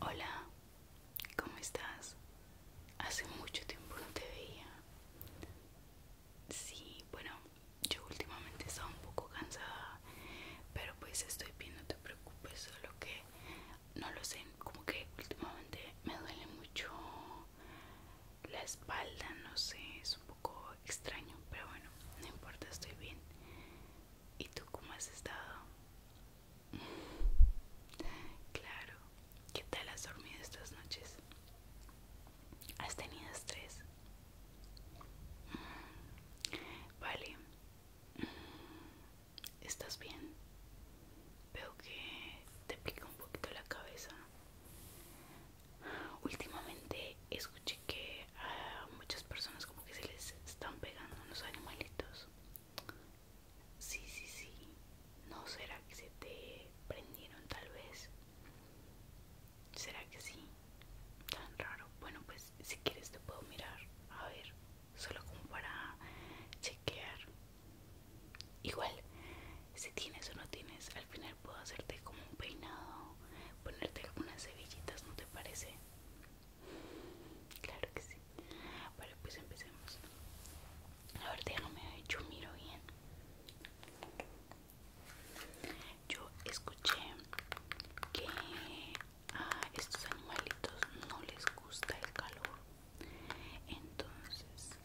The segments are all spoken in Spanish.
Hola, ¿cómo estás? Hace mucho tiempo no te veía. Sí, bueno, yo últimamente estaba un poco cansada, pero pues estoy bien, no te preocupes, solo que no lo sé, como que últimamente me duele mucho la espalda, no sé, es un poco extraño, pero bueno, no importa, estoy bien. ¿Y tú cómo has estado? Claro. ¿Qué tal has dormido estas noches? ¿Has tenido estrés? Vale. ¿Estás bien? Veo que te pica un poquito la cabeza. Últimamente escuché que a muchas personas como que se les están pegando unos animalitos. Sí, sí, sí. ¿No será que se te prendieron tal vez? ¿Será que sí? Tan raro. Bueno, pues si quieres te puedo mirar. A ver, solo como para chequear. Igual, si tienes o no tienes, al final puedo hacerte como un peinado, ponerte algunas cebillitas, ¿no te parece? Claro que sí. Vale, pues empecemos. A ver, déjame, yo miro bien. Yo escuché que a estos animalitos no les gusta el calor. Entonces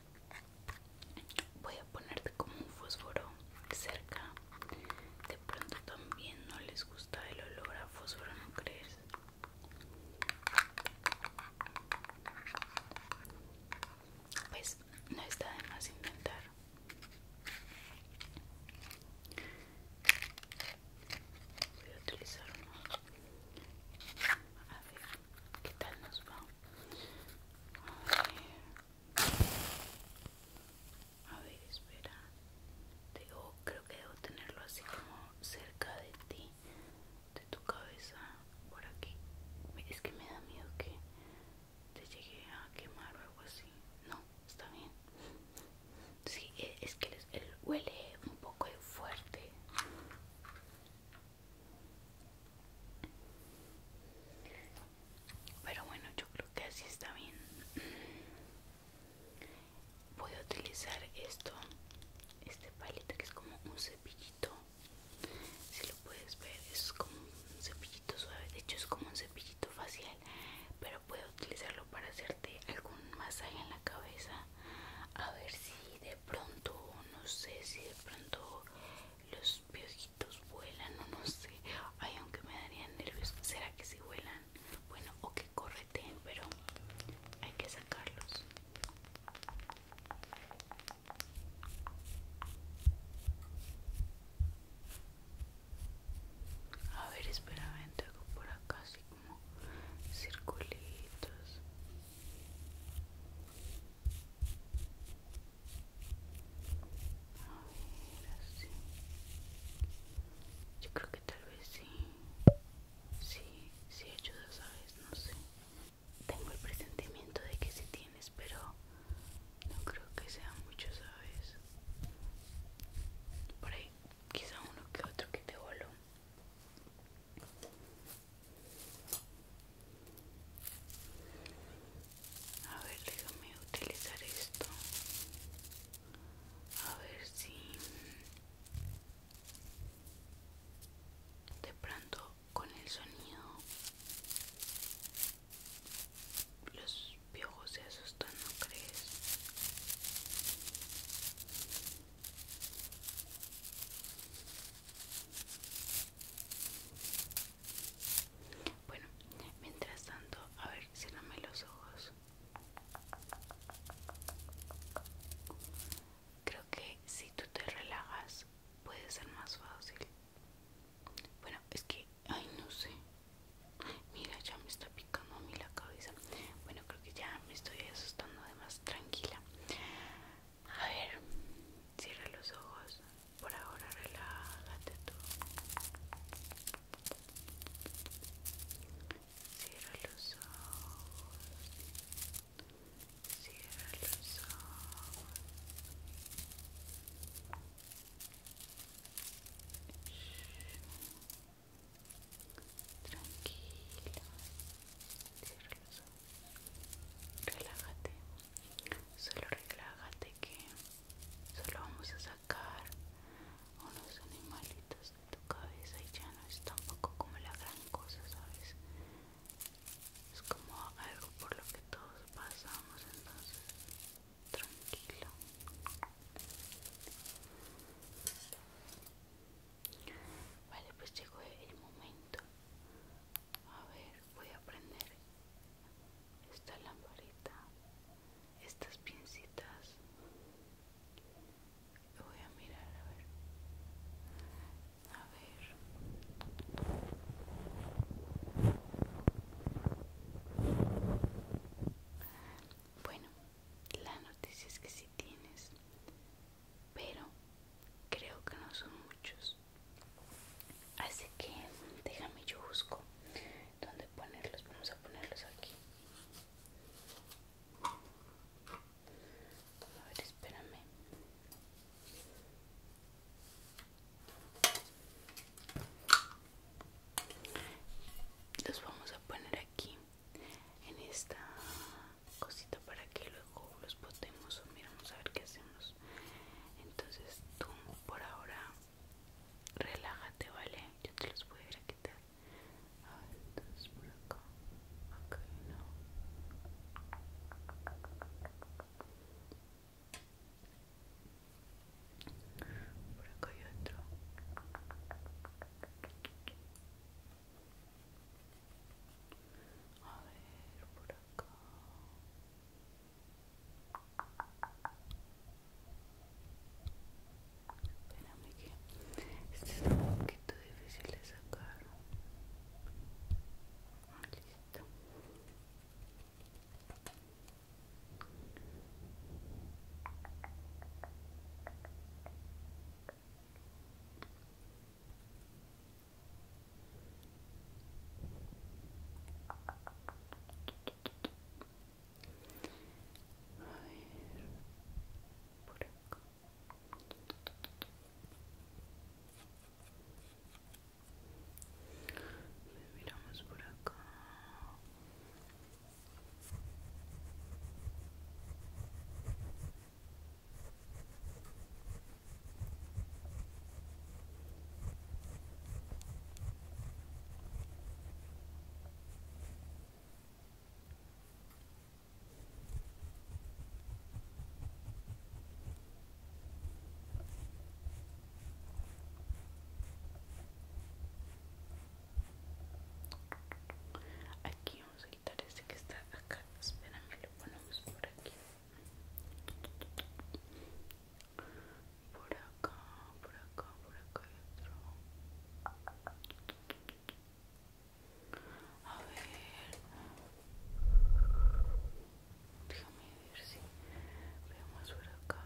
voy a ponerte como un fósforo cerca. De pronto también no les gusta el olor a fósforo, ¿no crees? Pues no está de más intentar. Voy a utilizar A ver, ¿qué tal nos va? A ver. A ver, espera. creo que debo tenerlo así como cerca de ti, de tu cabeza, por aquí. Es que me da miedo que te llegue a quemar o algo así. No, está bien. Sí, e, es que él huele un poco fuerte. Pero bueno, yo creo que así está bien voy a utilizar esto este palito que es como un cepillito si lo puedes ver es como un cepillito suave de hecho es como un cepillito facial pero puedo utilizarlo para hacerte algún masaje en la cabeza a ver si de pronto no sé si de pronto los piojitos vuelan o no sé ay aunque me darían nervios será que si vuelan bueno o que corre pero hay que sacarlos a ver espera hago por acá así como circulitos a ver así yo creo tal vez sí, he hecho dos aves, No sé. Tengo el presentimiento de que sí tienes, pero no creo que sea mucho, ¿sabes? Por ahí, quizá uno que otro que te voló. A ver, déjame utilizar esto a ver si de pronto con el sonido los piojos se asustan, ¿no crees? Bueno, mientras tanto, a ver, ciérrame los ojos. Creo que si tú te relajas puede ser más fácil. Bueno, es que, ay, no sé. Mira, ya me está picando a mí la cabeza. Bueno, creo que ya me estoy asustando de más tranquila. A ver, cierra los ojos. Por ahora relájate tú. Cierra los ojos. Cierra los ojos. tranquila, Cierra los ojos. Relájate. Solo relájate que solo vamos a sacar unos animalitos de tu cabeza y ya no es tampoco como la gran cosa, ¿sabes? Es como algo por lo que todos pasamos, entonces tranquilo. Vale, pues llegó el momento. A ver, voy a prender esta lamparita estas pincitas voy a mirar a ver a ver bueno la noticia es que si tienes pero creo que no son muchos así que déjame yo busco dónde ponerlos vamos a ponerlos aquí a ver espérame los vamos a poner aquí en esta cosita para que luego los botemos o miramos a ver qué hacemos entonces tú por ahora Relájate, ¿vale? Yo te los voy a quitar. A ver, por acá. Acá Por acá hay otro. A ver, por acá. Espérame que este es un poquito difícil de sacar. Listo. A por acá. Miramos por acá. Aquí vamos a quitar este que está acá. Espérame, lo ponemos por aquí por acá, por acá, por acá y A ver, déjame ver si veamos por acá.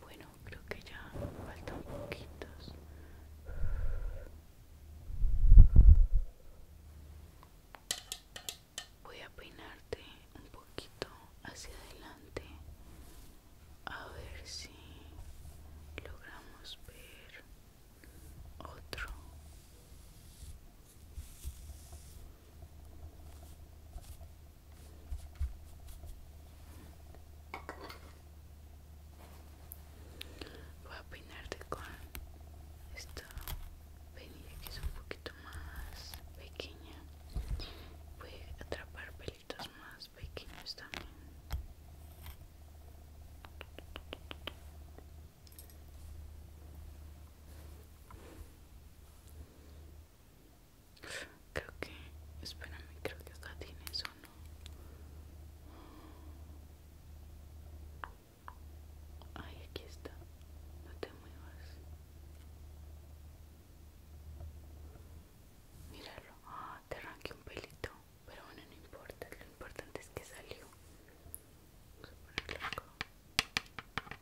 Bueno, creo que ya faltan poquitos. Voy a peinarte un poquito hacia adelante a ver si logramos ver otro voy a peinarte con esta venida que es un poquito más pequeña voy a atrapar pelitos más pequeños también Creo que, espérame, creo que acá tienes no. Ay, aquí está. No te muevas. Míralo. Ah, te arranqué un pelito. Pero bueno, no importa. Lo importante es que salió. a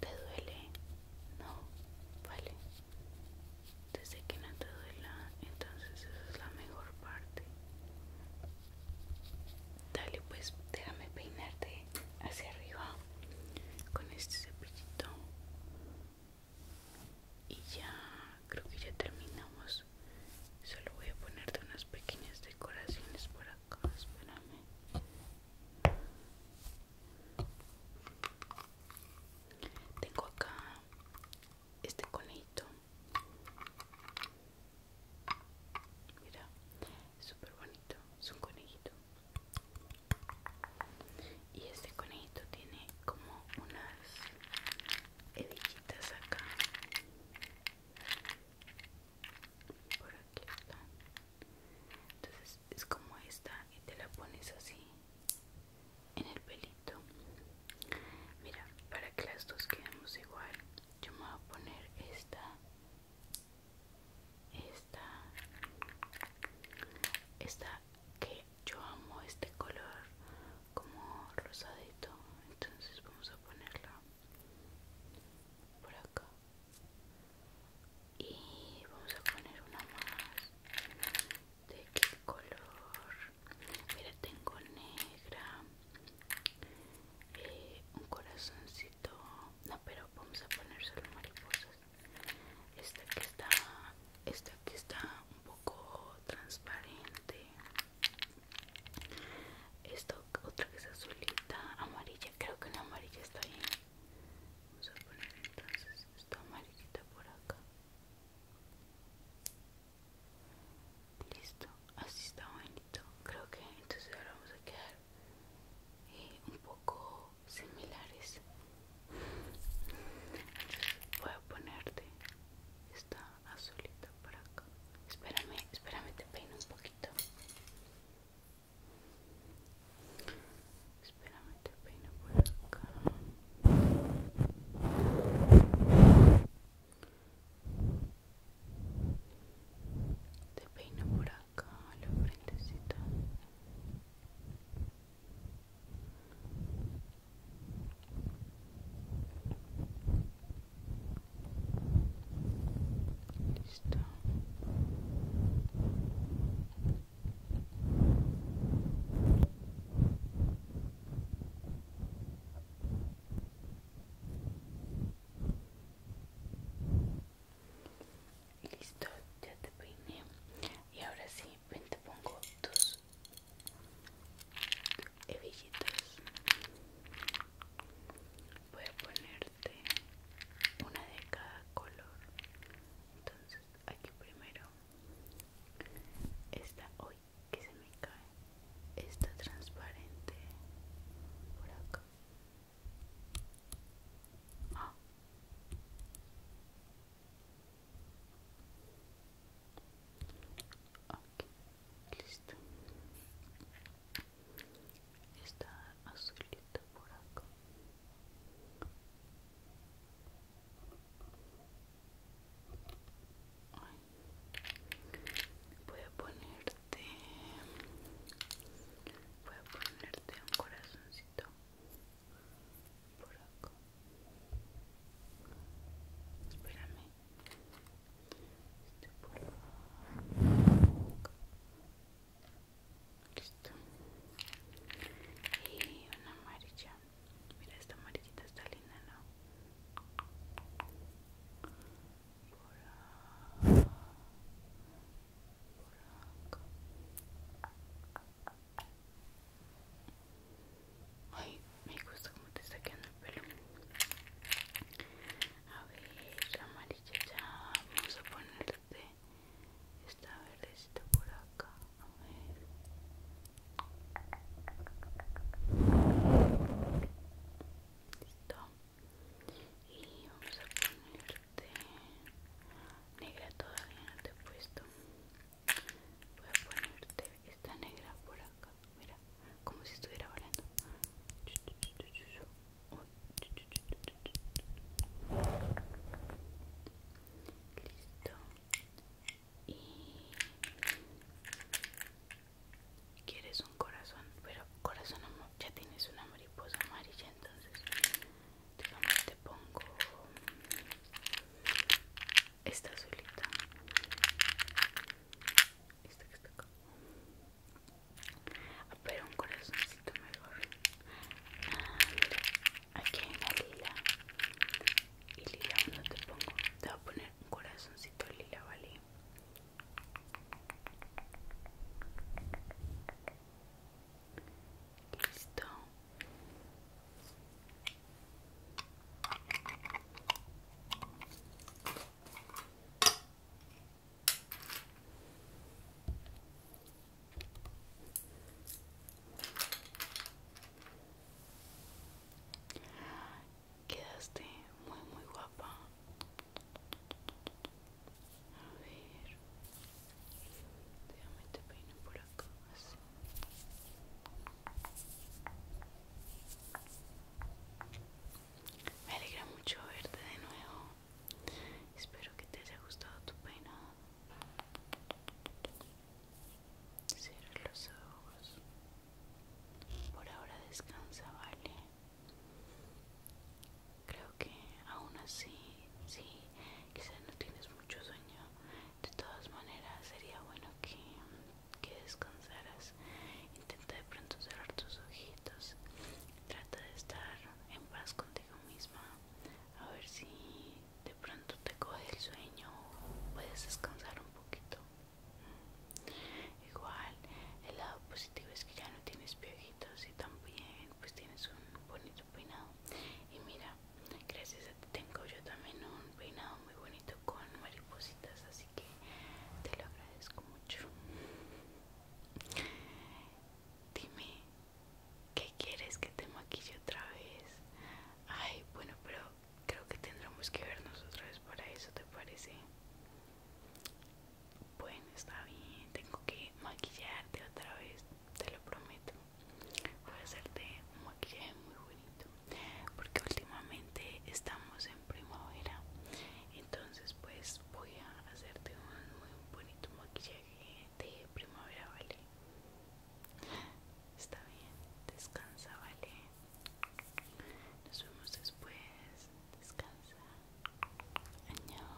¿Te duele? No, vale. Desde que no te duela, entonces esa es la mejor parte. Dale, pues déjame peinarte hacia arriba con este cepillito y ya creo que ya terminamos solo voy a ponerte unas pequeñas decoraciones por acá espérame tengo acá este conejito mira súper bonito es un conejito y este conejito tiene como unas hebillitas acá por aquí está entonces es como esta y te la pones así en el pelito mira para que las dos quedemos igual yo me voy a poner esta esta esta que yo amo este color como rosadito entonces vamos a ponerla por acá y vamos a poner una más de qué color mira tengo negra eh, un corazoncito no pero vamos a poner solo mariposas esta que está, esta que está un poco transparente. esto otra que es azulita, amarilla. Creo que una amarilla está bien. Vamos a poner entonces esta amarillita por acá. Listo, así está bonito. Creo que entonces ahora vamos a quedar eh, un poco similares voy a ponerte esta azulita para acá espérame espérame te peino un poquito espérame te peino por acá te peino por acá la frentecita Listo. Listo, ya te peiné. Y ahora sí, te pongo tus hebillitas voy a ponerte una de cada color entonces aquí primero esta hoy que se me cae esta transparente por acá ah ok, listo. Está azulito por acá. Voy a ponerte, voy a ponerte un corazoncito por acá espérame este por acá listo y una amarilla mira esta amarillita está linda no por acá por acá Ay, me gusta como te está quedando el pelo. A ver, amarilla ya. Vamos a ponerte esta verdecita por acá. A ver. Listo. Y vamos a poner negra todavía no te he puesto voy a ponerte esta negra por acá mira como si estuviera volando listo y quieres un corazón pero corazón ya tienes una mariposa amarilla entonces digamos te pongo esta azulita esta que está acá ah, pero un corazoncito mejor ah, aquí hay una lila y lila no te pongo te voy a poner un corazoncito lila vale Listo. Quedaste muy muy guapa. A ver, déjame te peino por acá, así. Me alegra mucho verte de nuevo. Espero que te haya gustado tu peinado. Cierra los ojos. Por ahora descansa, ¿vale? creo que aún así, si sí, quizás no tienes mucho sueño, de todas maneras sería bueno que, descansaras. Intenta de pronto cerrar tus ojitos, trata de estar en paz contigo misma, a ver si de pronto te coge el sueño, puedes descansar un poquito. Igual, el lado positivo es que ya no tienes piojitos y también pues tienes un bonito peinado y mira gracias a ti tengo yo también un peinado muy bonito con maripositas así que te lo agradezco mucho dime qué quieres que te maquille otra vez ay bueno pero creo que tendremos que vernos otra vez para eso te parece bueno está bien tengo que maquillarte otra vez te lo prometo voy a hacerte un maquillaje muy bonito porque últimamente estamos en primavera entonces pues voy a hacerte un muy bonito maquillaje de primavera vale está bien descansa vale nos vemos después descansa año